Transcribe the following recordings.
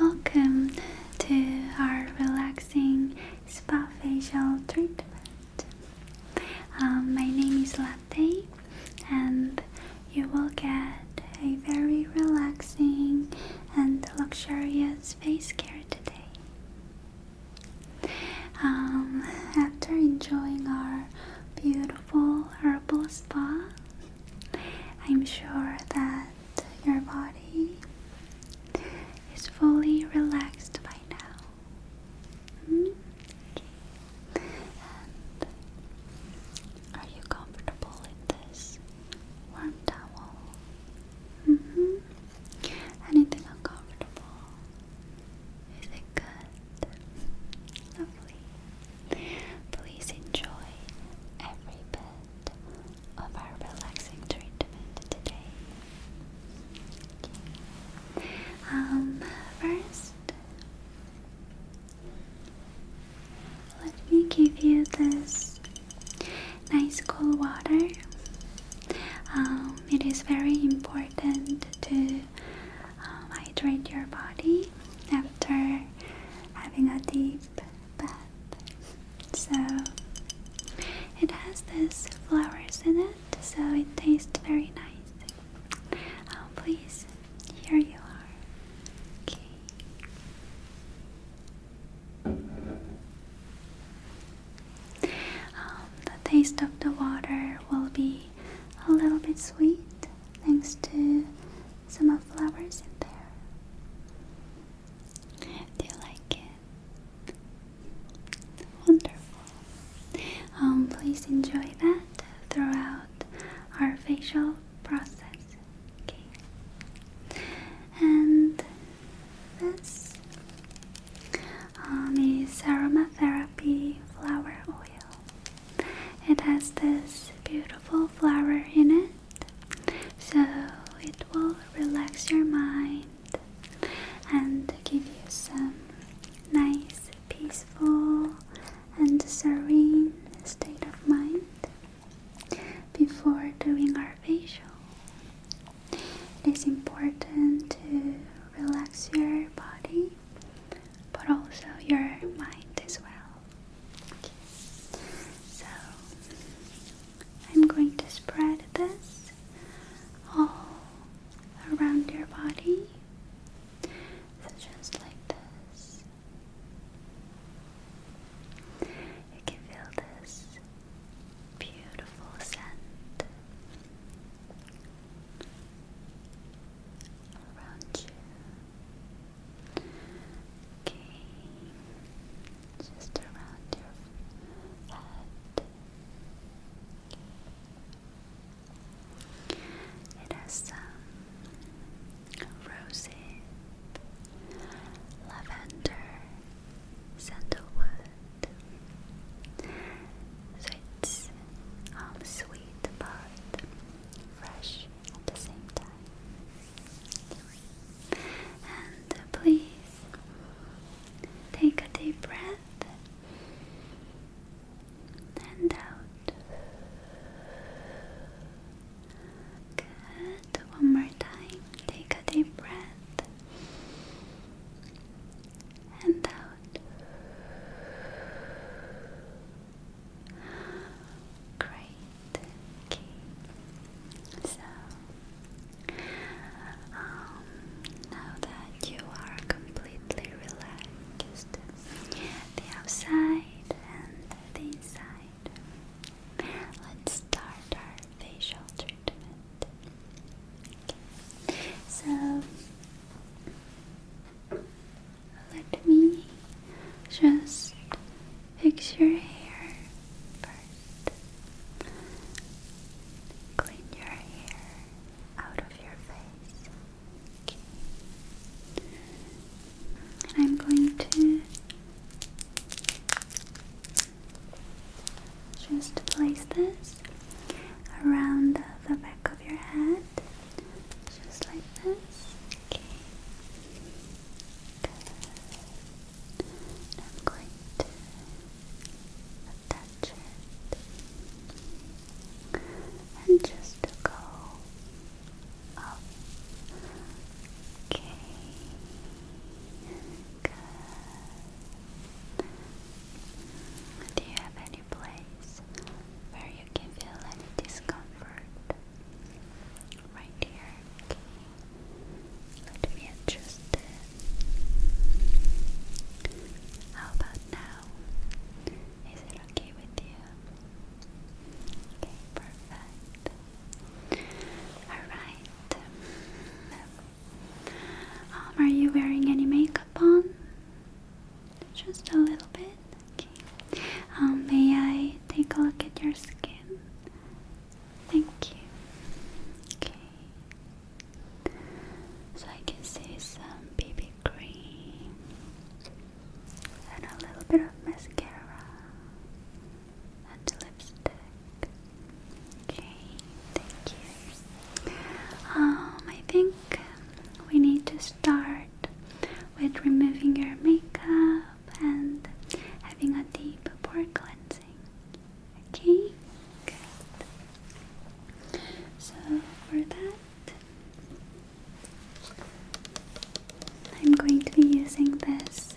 Welcome to our relaxing spa facial treatment. Um, my name is Latte, and you will get a very relaxing and luxurious face care today. Um, after enjoying our beautiful herbal spa, I'm sure that your body is fully relaxed by now. Hmm? And are you comfortable in this warm towel? -hmm. Anything uncomfortable? Is it good? Lovely. Please enjoy every bit of our relaxing treatment today. Um, first, let me give you this nice cold water. Um, it is very important to um, hydrate your body after having a deep bath. So it has this flowers in it, so it tastes very nice. Um, please, here you are. Okay. Um, the taste of the water will be a little bit sweet, thanks to some of flowers in there. Do you like it? Wonderful. Um, please enjoy that throughout our facial process. Okay. And this um, is aromatherapy flower oil. It has this beautiful flower in it, so it will relax your mind and give you some nice, peaceful, and serene state of mind before doing our facial. It is important to relax your body but also your mind as well. So I'm going to spread this all around your body. So just like this. You can feel this beautiful scent around you. Okay, just around your head. It has some roses, lavender, sandalwood. So it's um, sweet but fresh at the same time. And uh, please take a deep breath and out. Good. One more time. Take a deep breath and out. Great. Okay. So um, now that you are completely relaxed, the outside and the inside, let's start our facial treatment. Okay. So let me just fix your hair first. Clean your hair out of your face. And I'm going to just place this around the back of your head just like this. Okay. Good. I'm going to attach it and just go up. Okay. Good. Do you have any place where you can feel any discomfort? right here. Okay. Let me adjust it. How about now? Is it okay with you? Okay, perfect. Alright. Um, are you wearing any makeup on? Just a little bit. Okay. Um, may I take a look at your skin? Thank you. Okay. So I can see some BB cream and a little bit of mascara and lipstick. Okay, thank you. Um, I think we need to start with removing your makeup and having a deep pore cleansing. Okay? So, for that, I'm going to be using this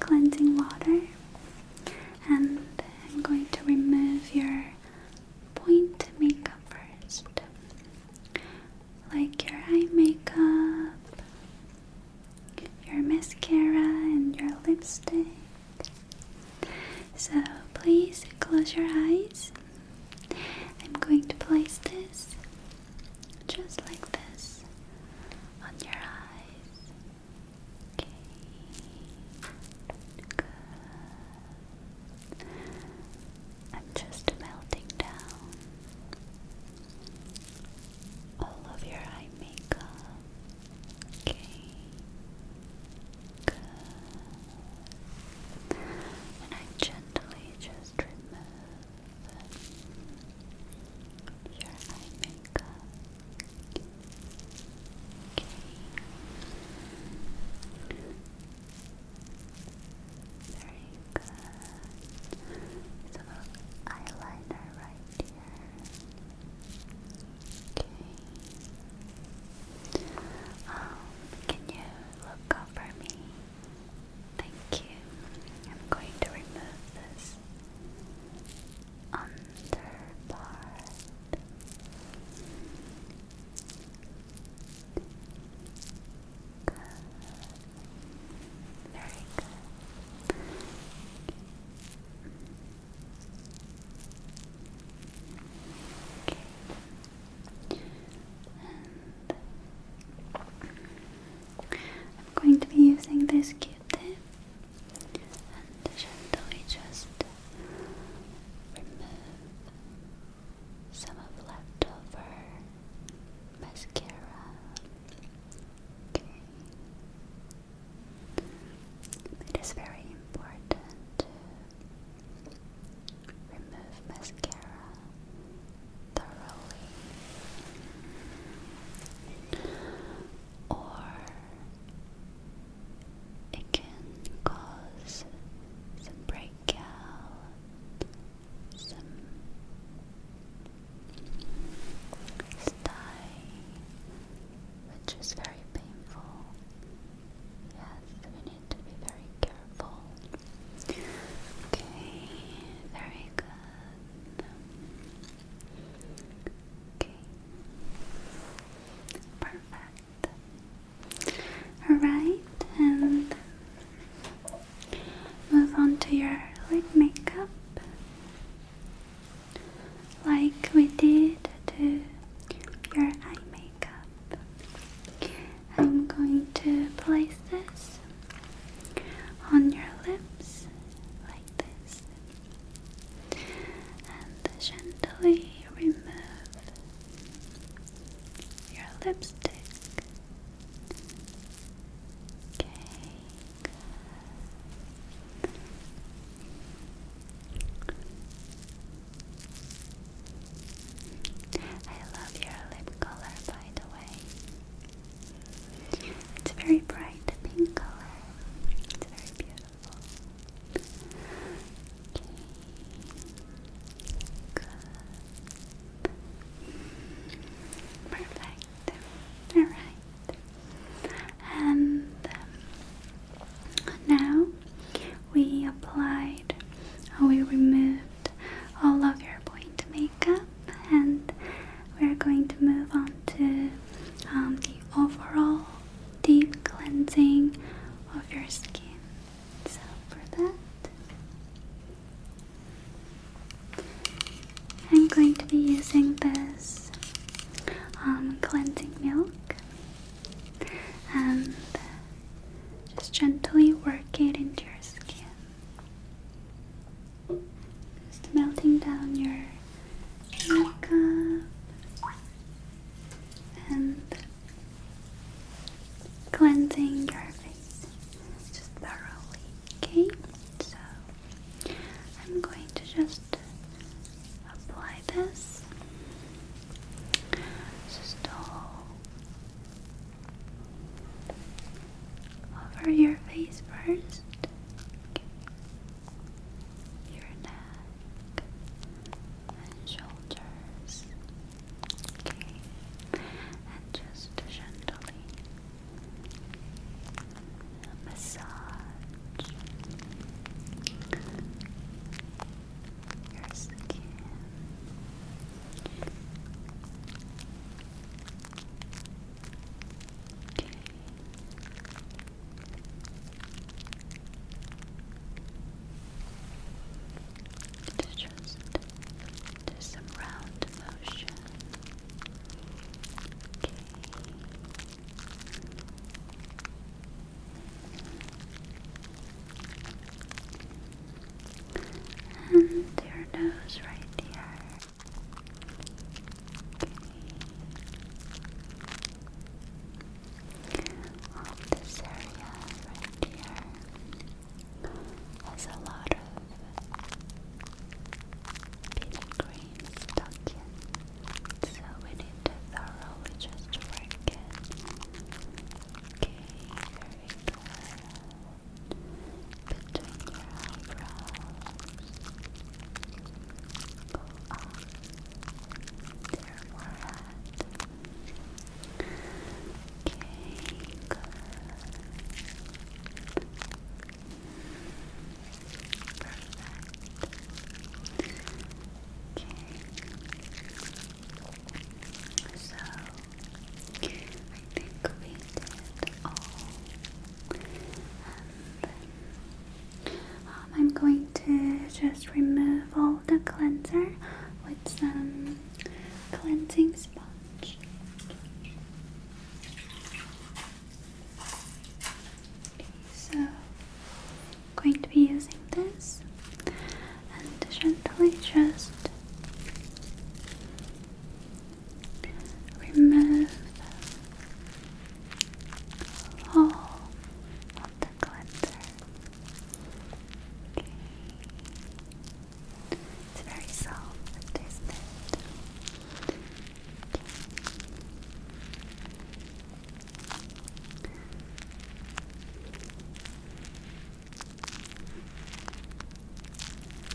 cleansing water and I'm going to remove your point makeup first like your eye makeup, your mascara, and your lipstick. So please close your eyes. I'm going to place this just like this on your eyes. Okay. Good. I'm just melting down all of your eye makeup. Okay. And I gently just remove your eye makeup. Okay. Very good. Some eyeliner right here. Okay. Um, can you look up for me? Thank you. I'm going to remove this under very good. Okay. And I'm going to be using this Q-tip and gently just remove some of leftover mascara. Okay. It is very important to remove mascara thoroughly, or it can cause some breakout some which is very painful. Yes, we need to be very careful. Okay, very good. Okay, perfect. Alright, and Move on to your lip makeup, like we did to your eye makeup. I'm going to place this on your lips, like this, and gently remove your lipstick. Okay, I love your lip color, by the way. It's very bright pink color. It's very beautiful. Okay. Good. Perfect. Alright. And um, now we applied we removed all of your point makeup and we're going to move on to um, the overall deep cleansing of your skin. So for that I'm going to be using this um, cleansing milk and just gently work it into your skin. Just melting down your makeup and cleansing your face thoroughly, okay? So I'm going to just apply this just over your face first, your neck and shoulders. Okay. Okay. And just gently massage your skin. Okay. Just do some round motion. Okay. And your nose right here. Okay. All this area right here has a lot of pin cream stuck in, so we need to thoroughly just work it. Okay, very good. Between your eyebrows, go up your forehead. Okay. So I think we did all. And um, I'm going to just remove all the cleanser with some cleansing spot. So, I'm going to be using this and gently just remove all of the glitter. It's very soft,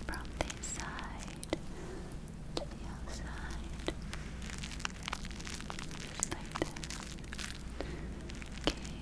From this side to the other just like that. Okay.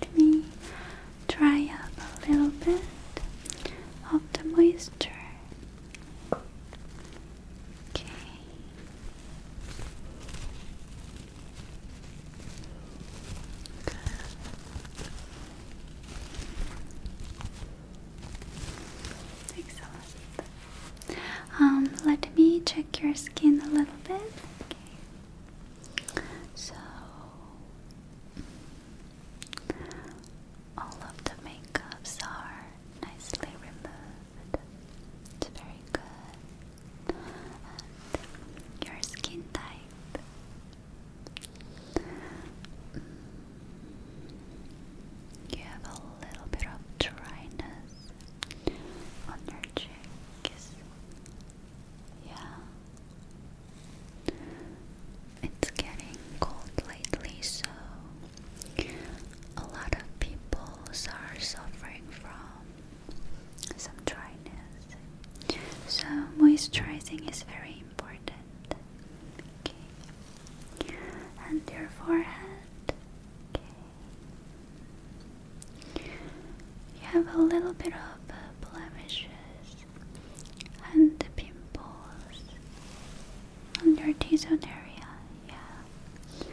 Let me dry up a little bit of the moisture. Okay. Good. Excellent. Um, let me check your skin a little bit. Okay. So all of the makeups are nicely removed. It's very good. And your skin type. You have a little bit of dryness on your cheeks, yeah. It's getting cold lately, so a lot of people are suffering from some dryness. So, moisturizing is very important. And your forehead. You have a little bit of blemishes and pimples on your T-zone area, yeah.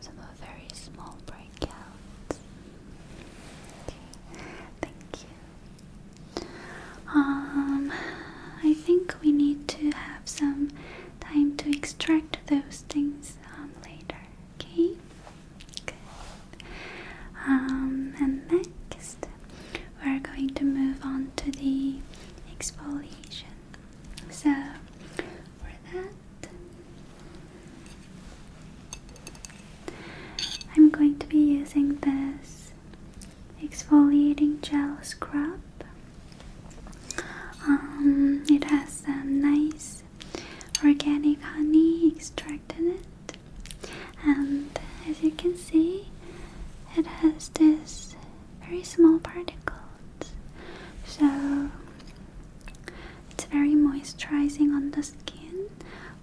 Some very small breakouts. Okay, thank you. Um, I think we need to have some time to extract those things um, later, okay? Um, and next, we're going to move on to the exfoliation. So, for that, I'm going to be using this exfoliating gel scrub. Um, it has some nice organic honey extracted in it and as you can see it has this very small particles so it's very moisturizing on the skin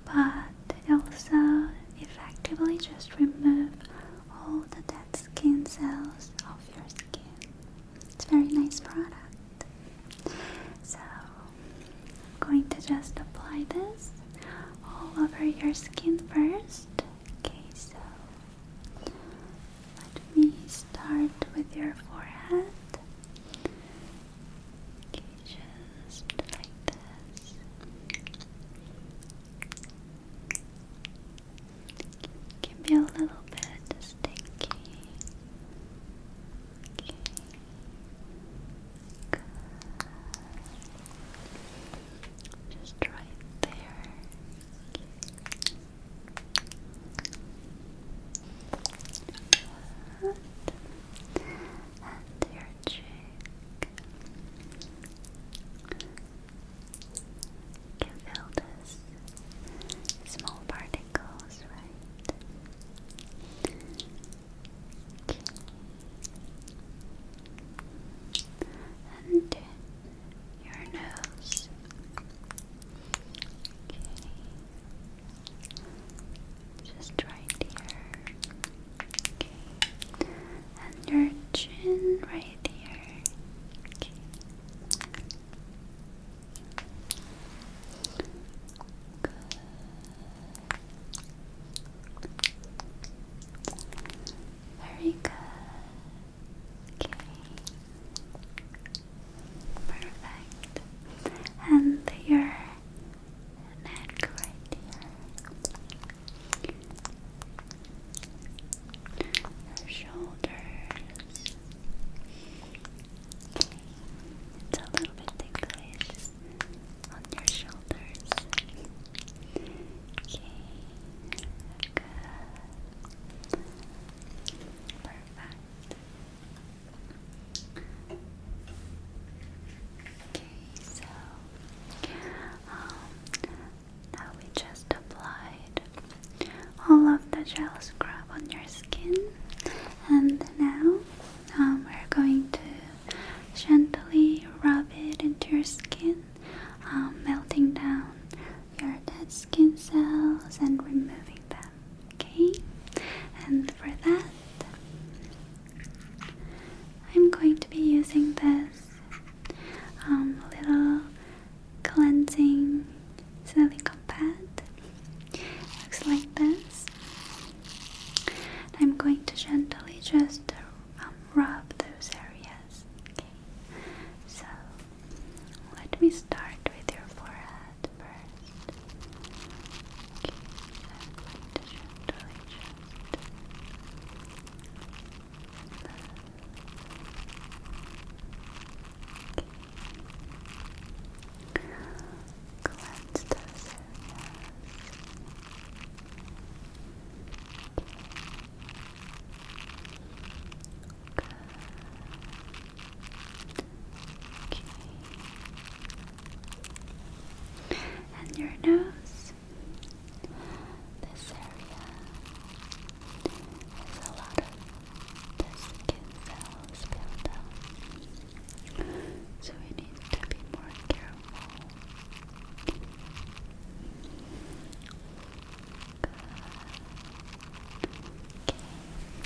but it also effectively just remove all the dead skin cells of your skin it's a very nice product so I'm going to just apply this all over your skin first. Okay, so let me start with your forehead. just like this. It can be a little bit sticky. Just right there. And your cheek. can feel this small parting circles, right? Okay. And your nose. Okay. Just right here. Okay. And your chin right here. Okay. Very good. Okay. Perfect. And your neck right here. Your shoulders. It's a little bit ticklish on your shoulders. Okay, good. Perfect. Okay, so um, now we just applied all of the gel scrub on your skin, and now um, we're going to gently rub it into your skin, um, melting down your dead skin cells and removing them. Okay? And for that, I'm going to be using this um, little cleansing silicone pad. Looks like this. I'm going to gently just um, rub those areas. Okay. So let me start with your forehead first. Cleanse those areas. Okay. Good. And your nose. This area has a lot of skin cells built up. So we need to be more careful. Okay.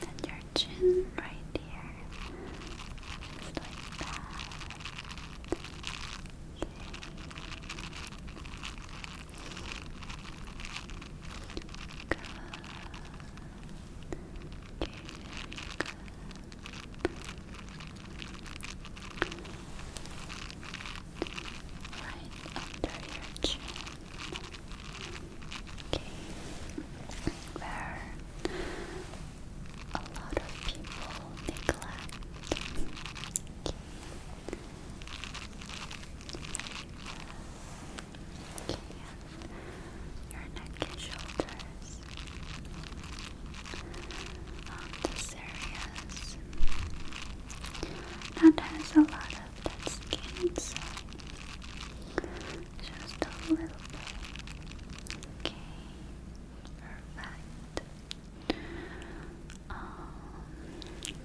And your chin right here. Just like that. Okay. you Right under your chin. Okay. Where a lot of people neglect. Okay. Your neck and shoulders. this areas. That has a lot of that skin, so just a little bit. Okay. Perfect. Um,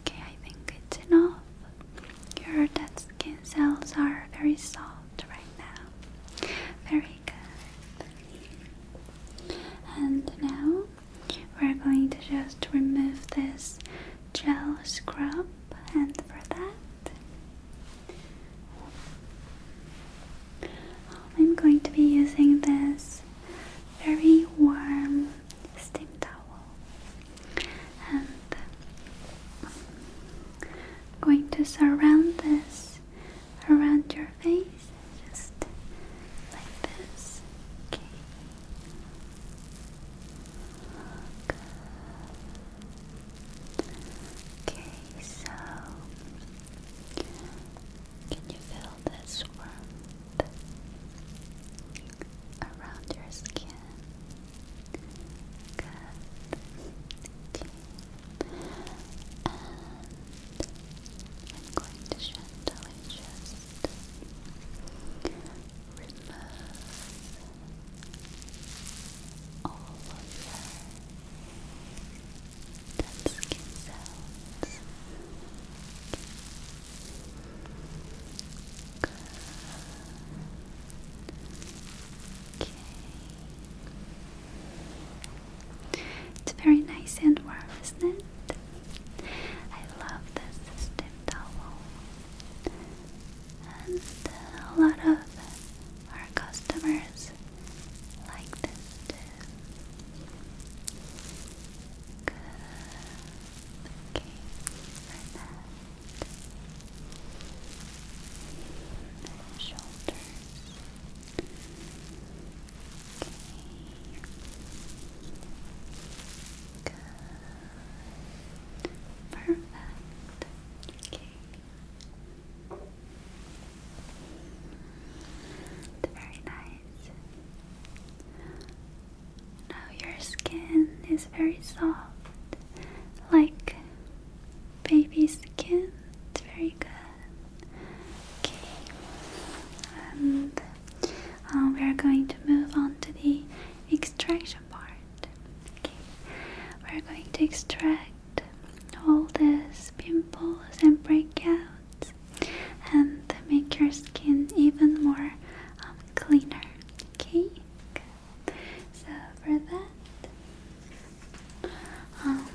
okay, I think it's enough. Your dead skin cells are very soft right now. Very good. And now we're going to just remove this gel scrub, and for that, I'm going to be using this very warm steam towel. And going to surround this around your face, just like this. Okay. Okay, so can you feel this warmth around your skin? Good. And I'm going to gently just remove all of your dead skin cells. It's very nice and warm, isn't it? I love this system towel. And a lot of our customers like this too. Okay. For and Perfect. Okay. Very nice. Now your skin is very soft, like Baby skin. It's very good. Okay, and um, we are going to move on to the extraction part. Okay, we're going to extract all these pimples and breakouts and make your skin even more um, cleaner. Okay, So for that, um,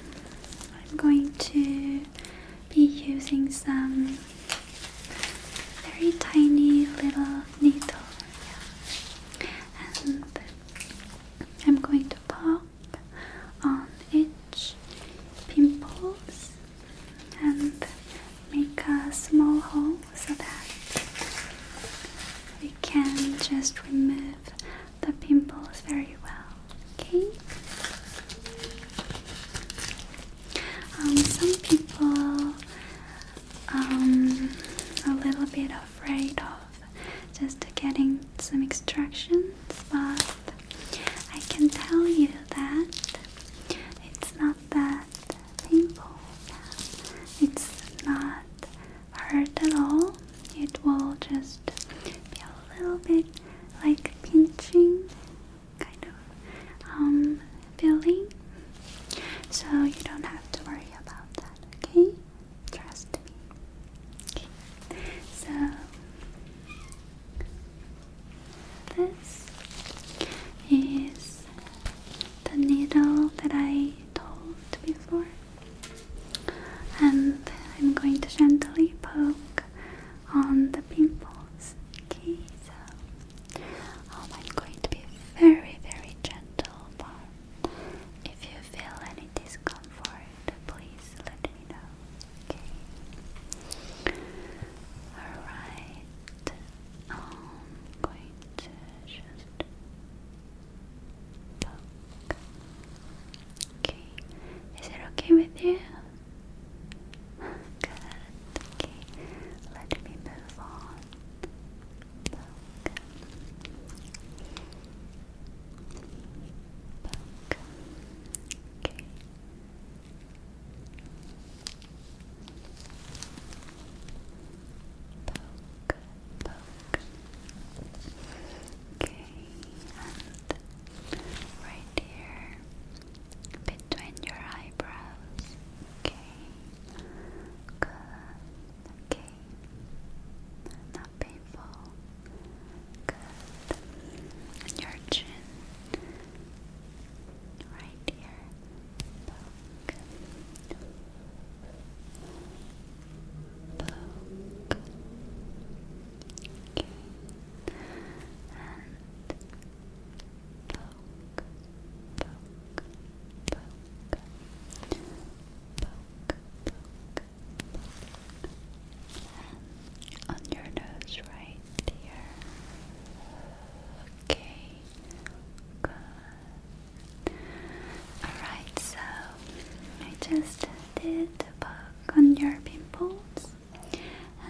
I'm going to be using some very tiny little needle, and I'm going to pop on each pimples and make a small hole so that we can just remove the pimples very well. Okay. Um, some people are um, a little bit afraid of just getting some extractions, but I can tell you that it's not that painful. It's not hurt at all. It will just be a little bit like pinching kind of um, feeling. So you don't have to worry about that, okay? Trust me. Okay. So this is the needle that I told before and I'm going to gently poke on the pimples. Okay, so oh, I'm going to be very, very gentle, but if you feel any discomfort, please let me know. Okay. Alright. I'm going to just Okay. Is it okay with you? Good. Okay. Let me move on. Poke. Poke. Okay book. Okay, and right here between your eyebrows. Okay, good. Okay, not painful. Good. your chin. Right here. Poke poke okay. and poke, poke, poke, poke, poke. on your nose right here okay, good Alright, so I just did a poke on your pimples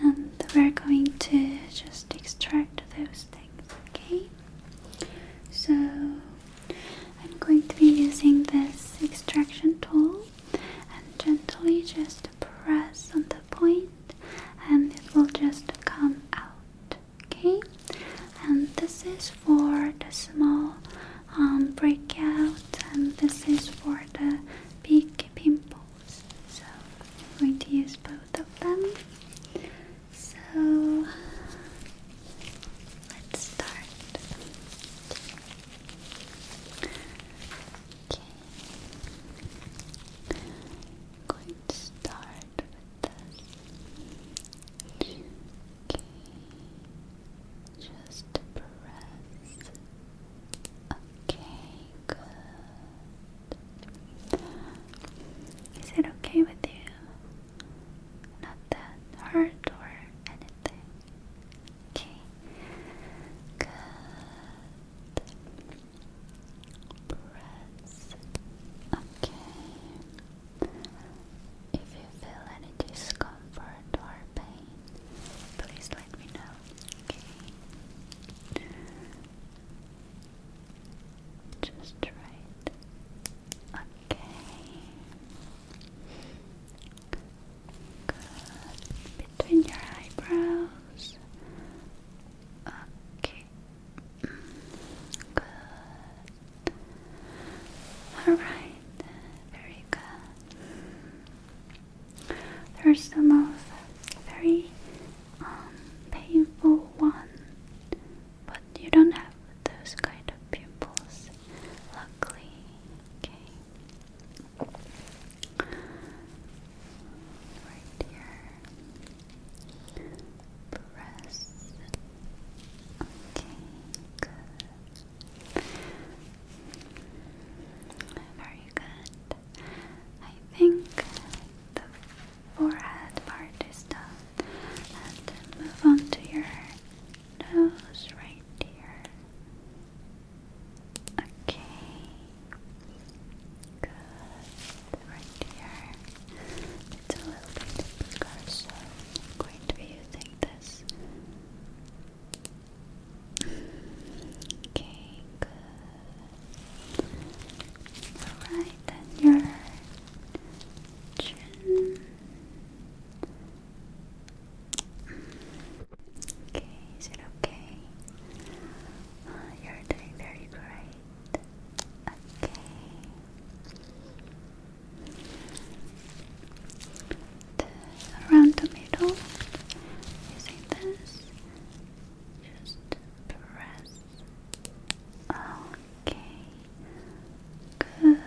and we're going to just extract those things, okay? So I'm going to be using this extraction tool and gently just press on the point and it will just come out, okay? And this is for the small um, breakout and this is for the big pimples. So I'm going to use both of them. So let's start. Okay. I'm going to start with this. Okay, just press. Okay, good. Is it okay with you? Not that or anything. Okay, good. Press. Okay. If you feel any discomfort or pain, please let me know. Okay. Just right. Okay. Good. Between your eyebrows. Okay. Mm, good. Alright, very good. There's some of very um, painful one, but you don't have those kind of pimples, luckily. Okay. Right here. Press. Okay, good. Very good. I think the forehead part is done. And move on to your nose right here. Okay. Good. Right here. It's a little bit bigger, so I'm going to be using this Okay, good. Alright, then your chin. Okay, is okay? Uh, you're doing very great. Okay around the middle using this just press okay good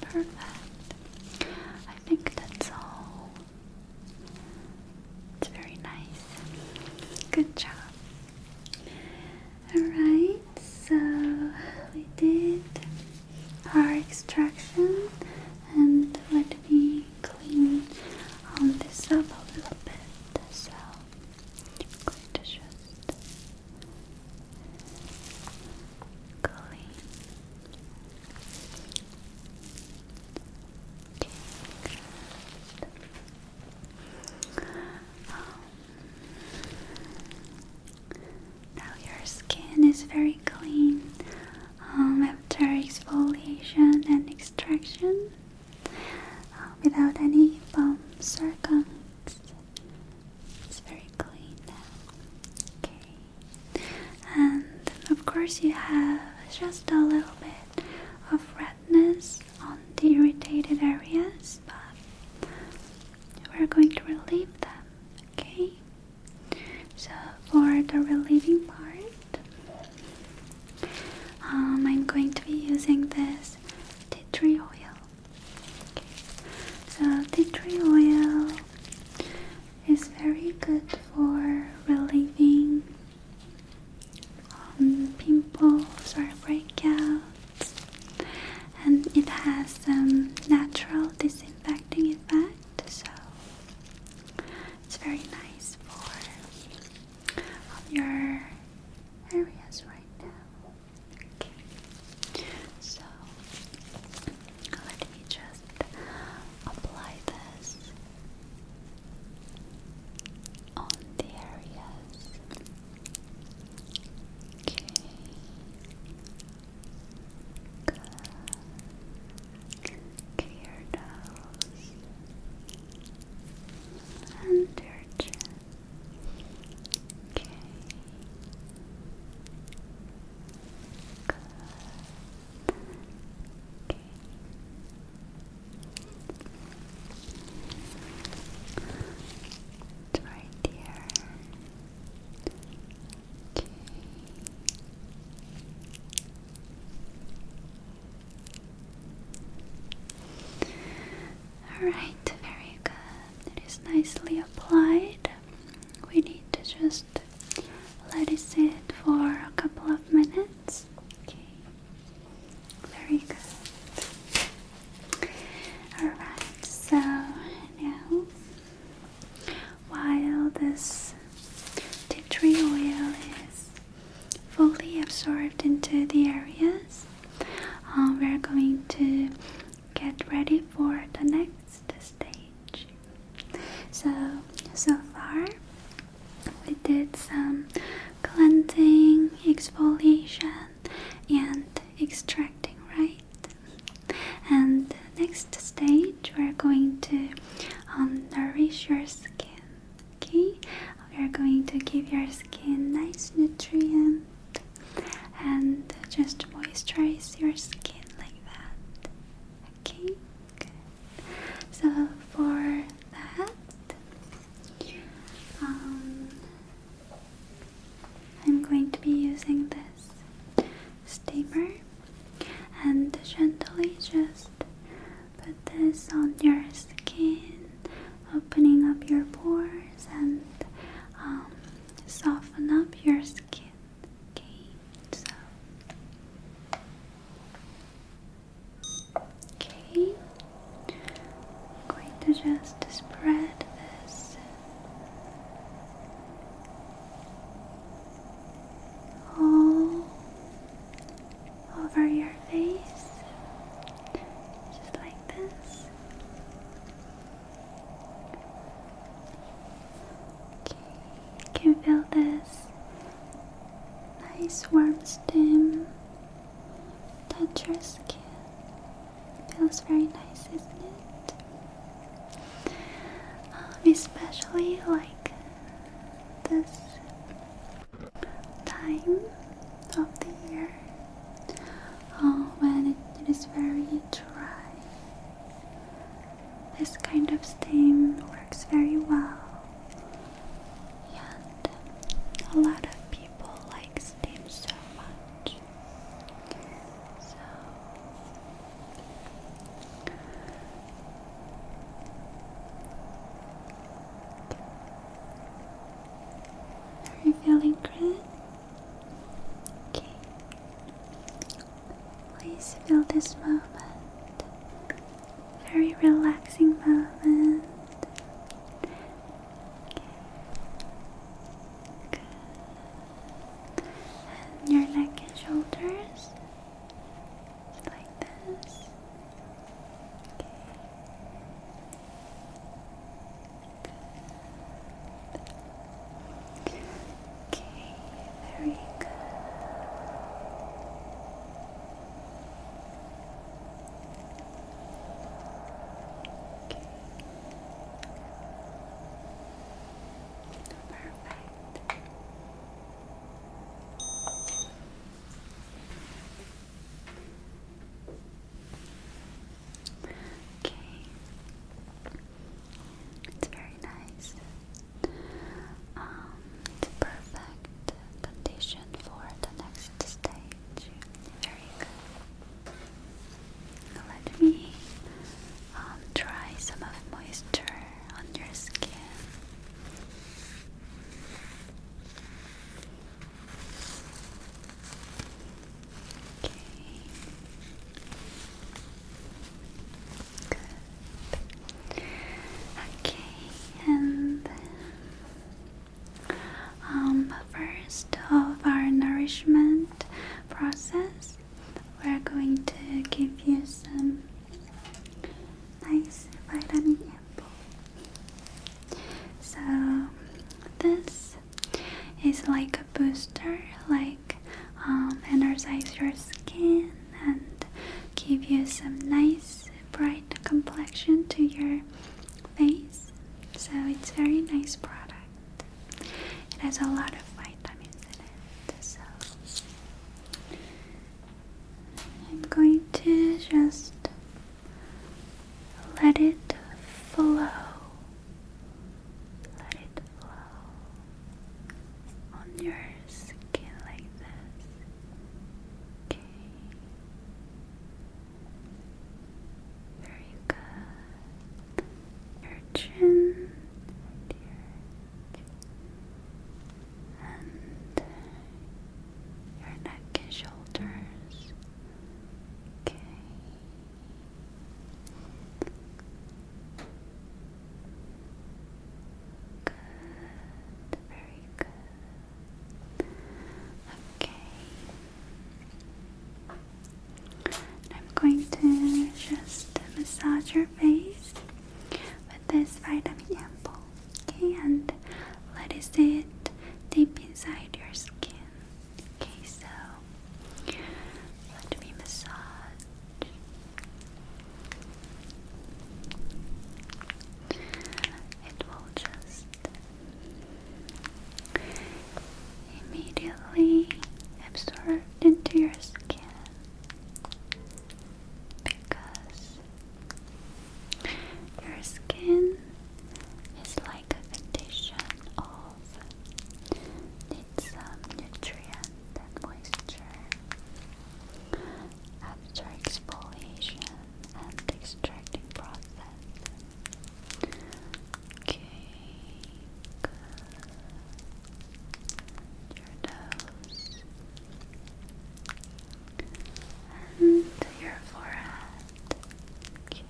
perfect I think that's all it's very nice good job Alright, so we did our extraction and let me clean on this up a little bit. So going to just clean. Okay, now your skin is very clean um, after exfoliation and extraction uh, without any bumps or gunks. It's very clean now. Okay. And of course, you have just a little bit of redness on the irritated areas but we're going to relieve them, okay? So, for the relieving part, um, I'm going to be using this tea tree oil. Okay. So, tea tree oil is very good for relieving um, pimples or breakouts and it has some natural disinfecting effect, so it's very nice for your areas right now. so let me just apply this on the areas Okay. Good. Okay, your nose and your chin. Okay. Good. Okay right here. Alright, very good. It is nicely applied. We need to just let it sit for a couple of minutes. Okay, very good. Alright, so now while this tea tree oil is fully absorbed into the areas, um, we're going to get ready for the next stage. So, so far, we did some cleansing, exfoliation, and extracting, right? right. And next stage, we're going to um, nourish your skin. Okay, we're going to give your skin nice nutrient and just moisturize your skin like that. Okay, So for that, um, I'm going to be using this steamer, and gently just put this on your skin, opening up your pores and um, soften up your skin. Okay, so okay, I'm going to just spread this all over your face, just like this. Okay, you can feel this nice warm steam touch your skin. Feels very nice, isn't it? Um, especially like this time of the year uh, when it is very dry. This kind of steam works very well, and a lot of people like steam so much energy. are you feeling good? Okay. Please feel this moment. Very relaxing moment. And your neck and shoulders. like this. Okay. Okay, very good. Okay. Perfect. Okay. It's very nice. Um, it's perfect condition for the next stage. Very good. Let me um, try some of moisture on your skin. Okay. Okay, and um, first of our nourishment process, we're going to give you some nice vitamin apple. So this is like a booster, like um, energize your skin and give you some nice bright complexion to your face. So it's very nice product. It has a lot of vitamins in it, so I'm going to just let it flow. Let it flow on your skin like this. Okay. Very good your chin and your, neck and shoulders. Okay. Good. Very good. Okay. I'm going to just massage your face with this vitamin ampoule, okay, and let it sit deep inside your skin. Okay, so let me massage. It will just immediately absorbed into your skin because your skin is like a condition of needs some nutrient moisture after exfoliation and extracting process Okay, good. Your nose and your forehead. Very good.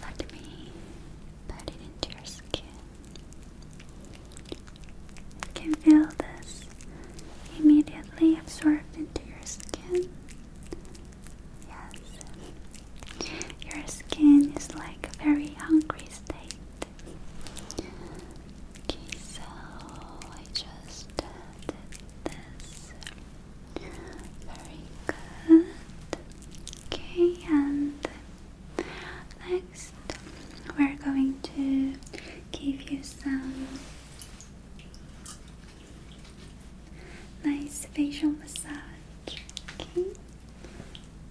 Let me put it into your skin. You can feel this immediately absorbed into your skin. Yes, your skin is like a very hungry state. so I just did this. Very good. Okay, and Next, we're going to give you some nice facial massage. Okay,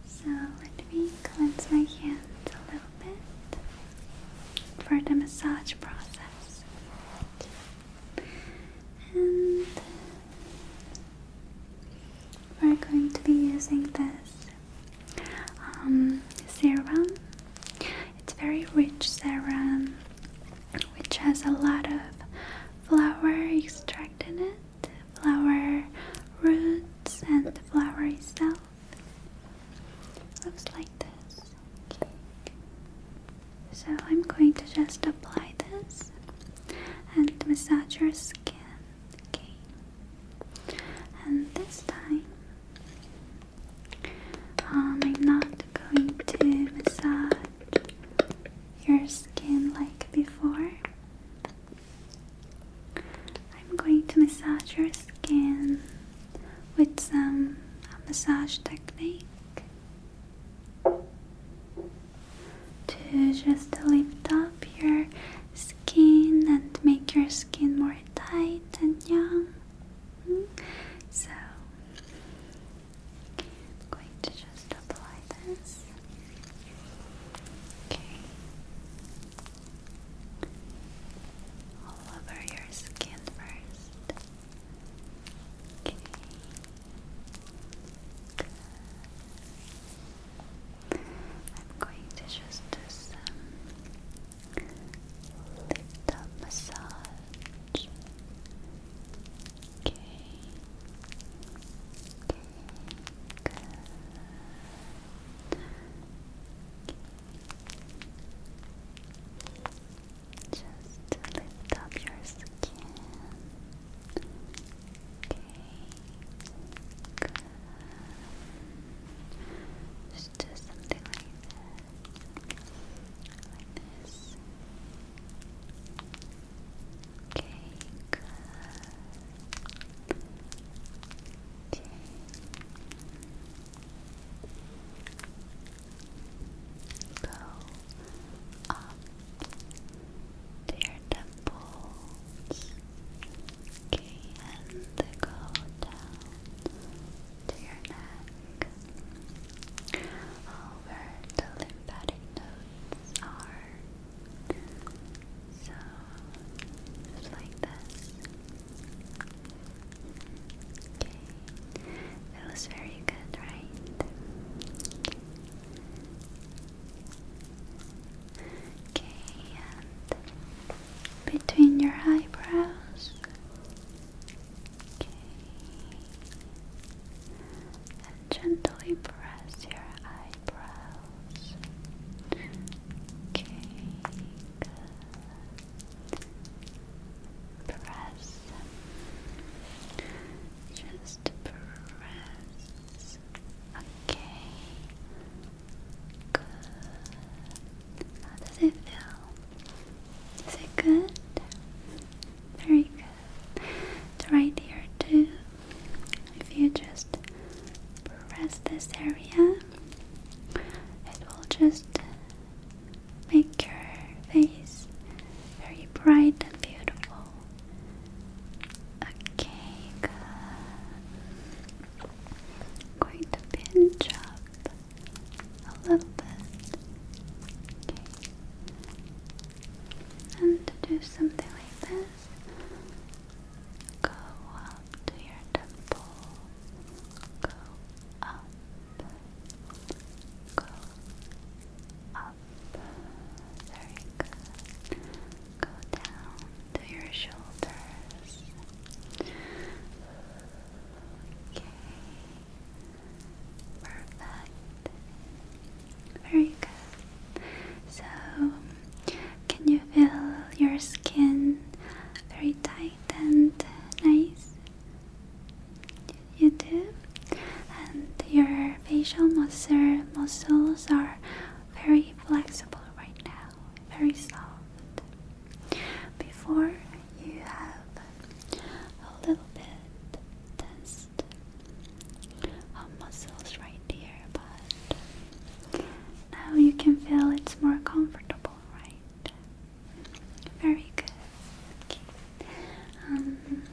so let me cleanse my hands a little bit for the massage process. And we're going to be using this um, serum. It's very rich serum, which has a lot of flower extract in it, flower roots, and the flower itself. Looks like this. So I'm going to just apply this and massage your skin Okay. And this time, um, I'm not going to massage your skin like before. I'm going to massage your skin with some massage technique to just lift up your skin and make your skin more tight and young. Hmm? So I'm going to just apply this. Okay. All over your skin first. Okay. I'm going to just do some little massage. Okay. Okay. Good. Just lift up your skin. Okay. Just do something like that. Like this. Okay, Okay. Go up to your temples. Okay, and go down to your neck. All the lymphatic nodes are. So, like this. Okay, that very good, right? Okay, and between your eyebrows. Okay. And gently press your eyebrows. Okay, Press. Just press. Okay. How does it feel? Is it good? Very good. right here too. If you just press this area, it will just make your face very bright and beautiful. Okay, going to pinch up a little bit. Okay. And to do something like this, go up to your temple, go up, go up. Very good. Go down to your shoulders. Okay. Perfect. Very good. So, can you feel your skin very tight and nice? You do? And your facial muscle, muscles are very flexible right now very soft. Before you have a little bit tensed muscles right here, but now you can feel it's more comfortable, right? Very good. Okay. Um,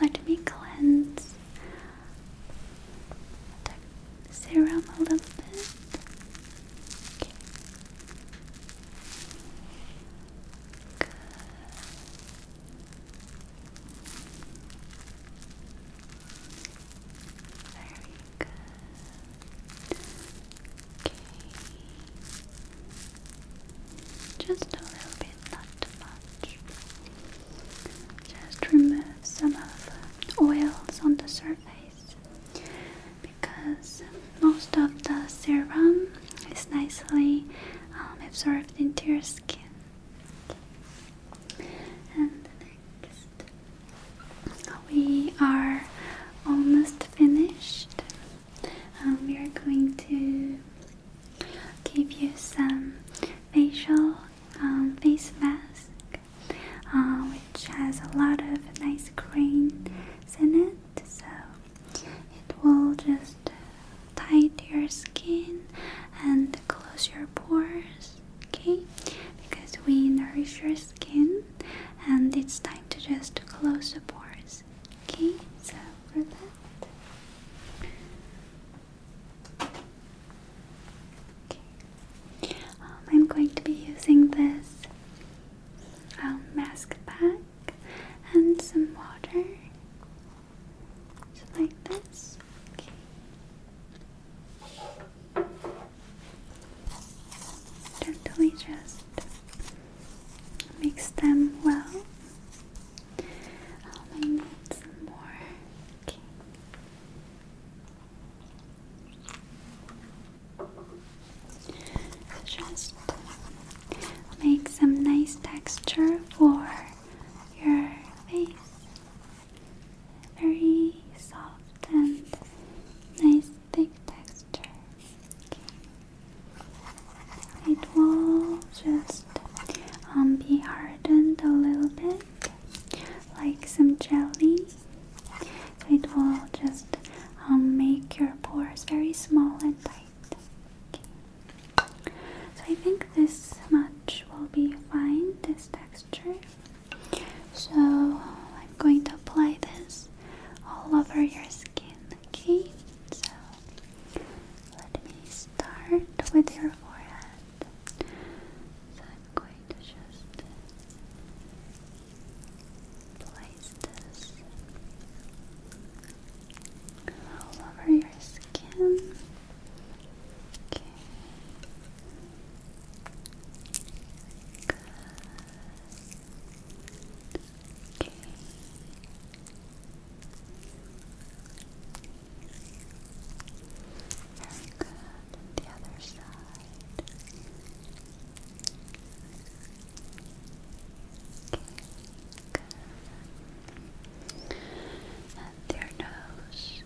let me cleanse Stay around a little bit. Okay. Good. Very good. Okay. Just a little bit, not too much. Just remove some of the oils on the surface because most of the serum is nicely um, absorbed into your skin. And next, we are almost finished. Um, we are going to give you some facial um, face mask uh, which has a lot of nice cream in it. So it will just tighten your skin and close your pores, okay? Because we nourish your skin and it's time to just close the pores, okay? So for that. Um, I'm going to be using this um, mask pack and some water, just like this. Okay. Gently just mix them well. Um, I need some more. Okay. Just make some nice texture for your face. Very soft and nice thick texture. It will just um, be hardened a little bit like some jelly. it will just um, make your pores very small and tight. So I think this much will be fine, this texture. So I'm going to apply this all over your skin, okay? So let me start with your forehead. So I'm going to just place this all over your skin. Okay. Good. Okay. Very good. the other side. Okay, good. And your nose.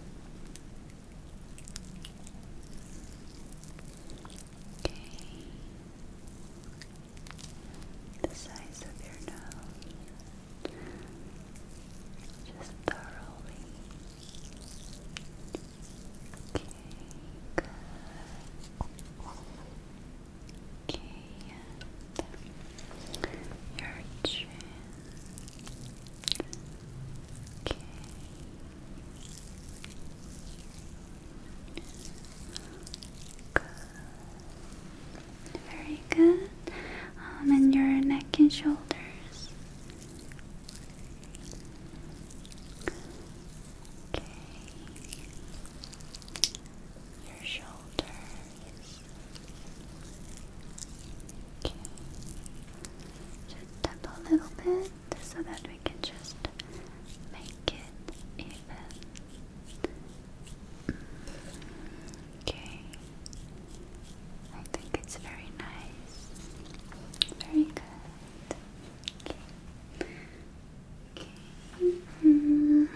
Okay. The size of your nose. Just thoroughly Okay, and your chin. Okay. Good. Very good. Um, and your neck and shoulders. Okay. Your shoulders. Okay. Just tap a little bit so that we can just make it even. Okay. I think it's very nice. Very good. Okay. Okay. -hmm.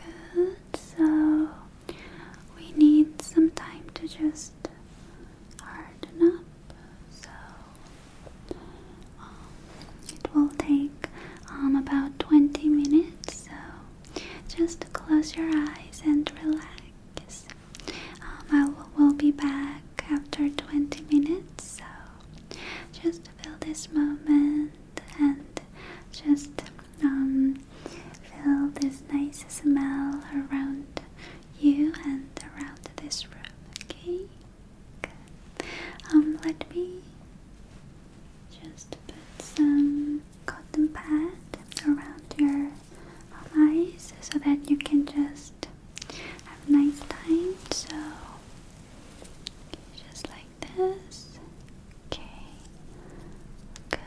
Good. So we need some time to just harden up. So um, it will take um, about 20 minutes. So just close your eyes and relax. Yes. Um, I will, be back after 20 minutes, so just feel this moment and just um, feel this nice smell around you and around this room. Okay. Um, let me just put some cotton pad around your of so that you can just have nice time. So just like this. Okay. Good.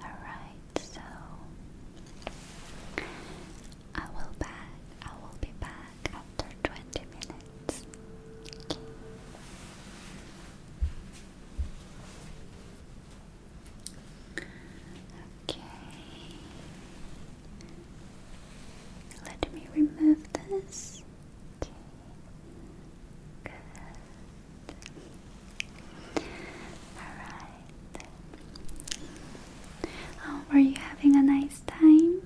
Alright, so I will be back after twenty minutes. Okay. Okay. Let me remove this. Okay. Good. Alright. were oh, you having a nice time?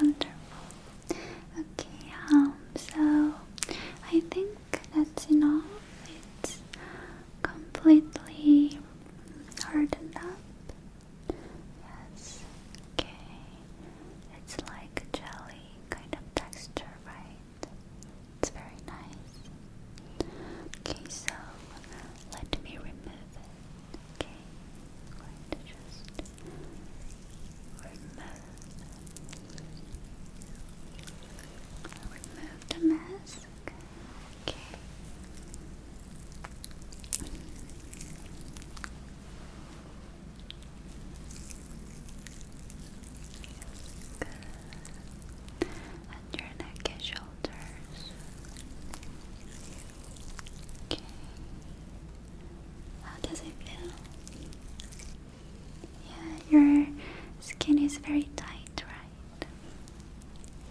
Wonderful. Okay, um, so I think that's enough. It's completely hardened up. Yes. Okay. It's like jelly kind of texture, right? It's very nice. Okay, so let me remove it. Okay. I'm going to just remove Move the mask. Okay. And your neck and shoulders. Okay. How does it feel? Yeah, your skin is very tight, right?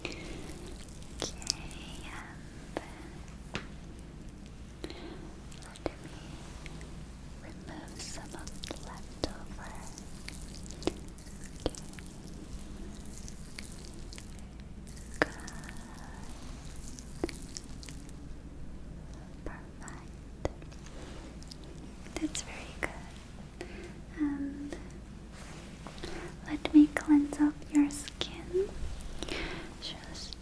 Okay, let me remove some of the leftover. Good. That's very good. And let me cleanse up your skin. Just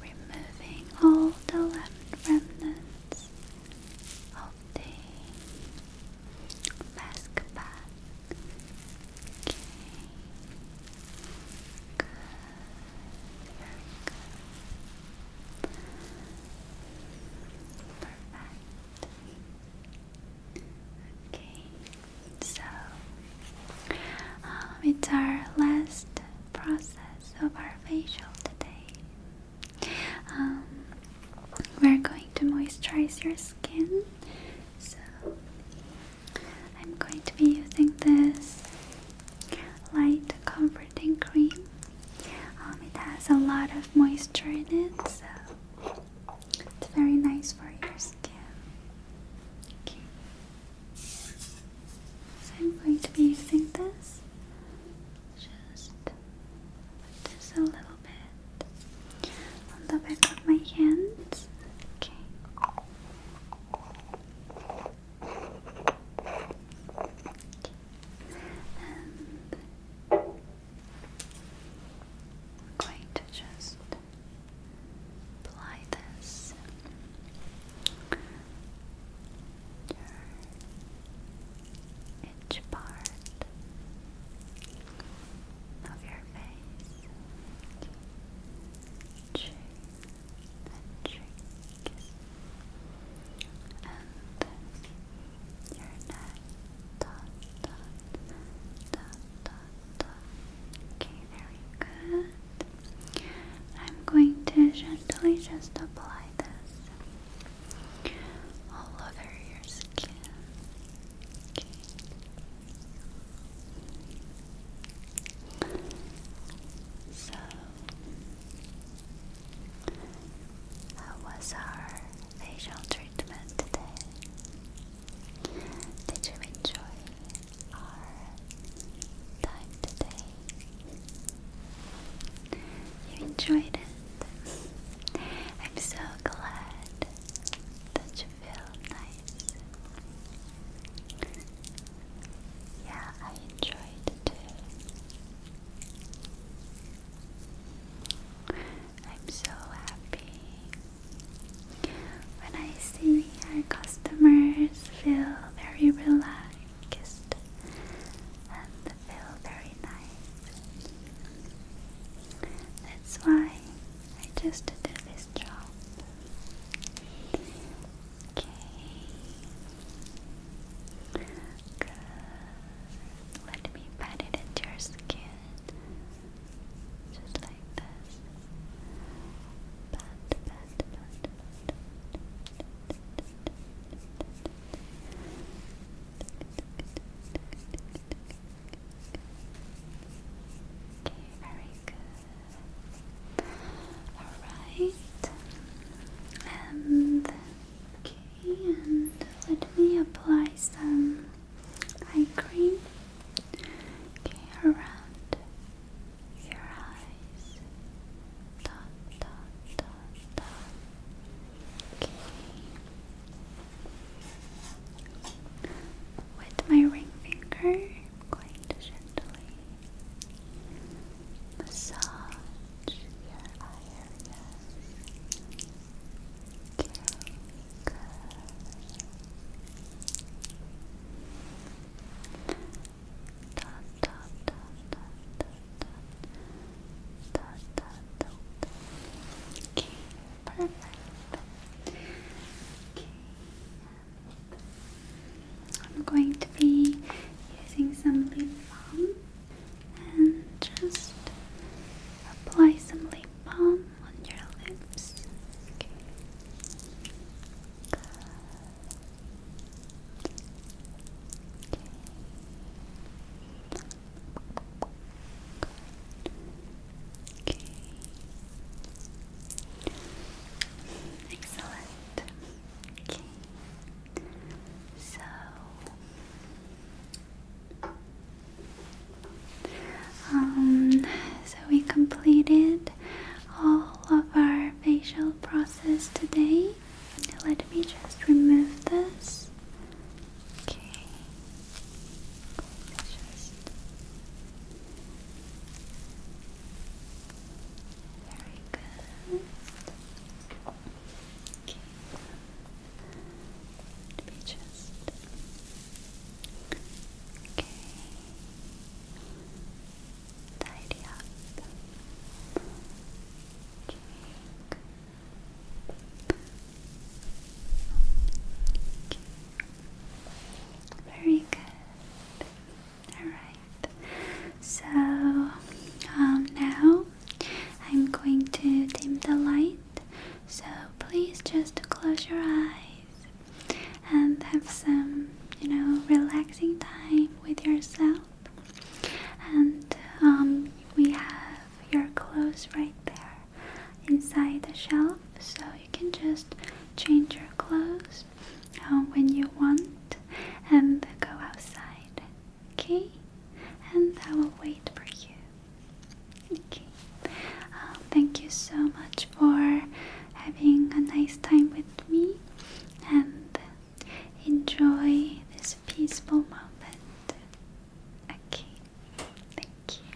removing all the left remnants of the mask bag. Okay. Good. Perfect. Okay, so um, it's our last process of our facial today. Um, we're going to moisturize your skin. So I'm going to be using this light comfort and cream. Um, it has a lot of moisture in it, so it's very nice for your skin. So I'm going to be using this. Just put a little bit on the back of my hands. Okay. And I'm going to just apply this each part of your face ventricles, and your neck. Dot, dot, dot, dot, dot. Okay, very good. I'm going to gently just apply this all over your skin. Okay. So, how was our facial treatment today? Did you enjoy our time today? You enjoyed it. I'm so glad that you feel nice. Yeah, I enjoyed it too. I'm so happy when I see our customers feel very relaxed and feel very nice. That's why I just do this job. Okay. Good. Let me pat it into your skin. Just like this. Pat, pat, pat, pat. Okay, very good. Alright, and okay, and let me apply some eye cream. around your eyes. Dot dot dot dot. Okay. With my ring finger, going gently massage your eye areas. Dot, dot, dot, dot, dot, dot, dot, dot, Okay, I'm going to be using some lip balm and just apply some lip balm on your lips. Okay. Okay. okay. Excellent. Okay. So um so we completed all of our facial process today. Let me just remove this. Okay. very good. Okay. Let me just. Okay. Tidy up. Okay. Okay. Very good. Alright, so um, now I'm going to dim the light. So please just close your eyes and have some, you know, relaxing time with yourself. And um, we have your clothes right there inside the shelf, so you can just change your clothes uh, when you want and go outside okay? And I will wait for you. Okay. Uh, thank you so much for having a nice time with me and enjoy this peaceful moment. Okay. Thank you.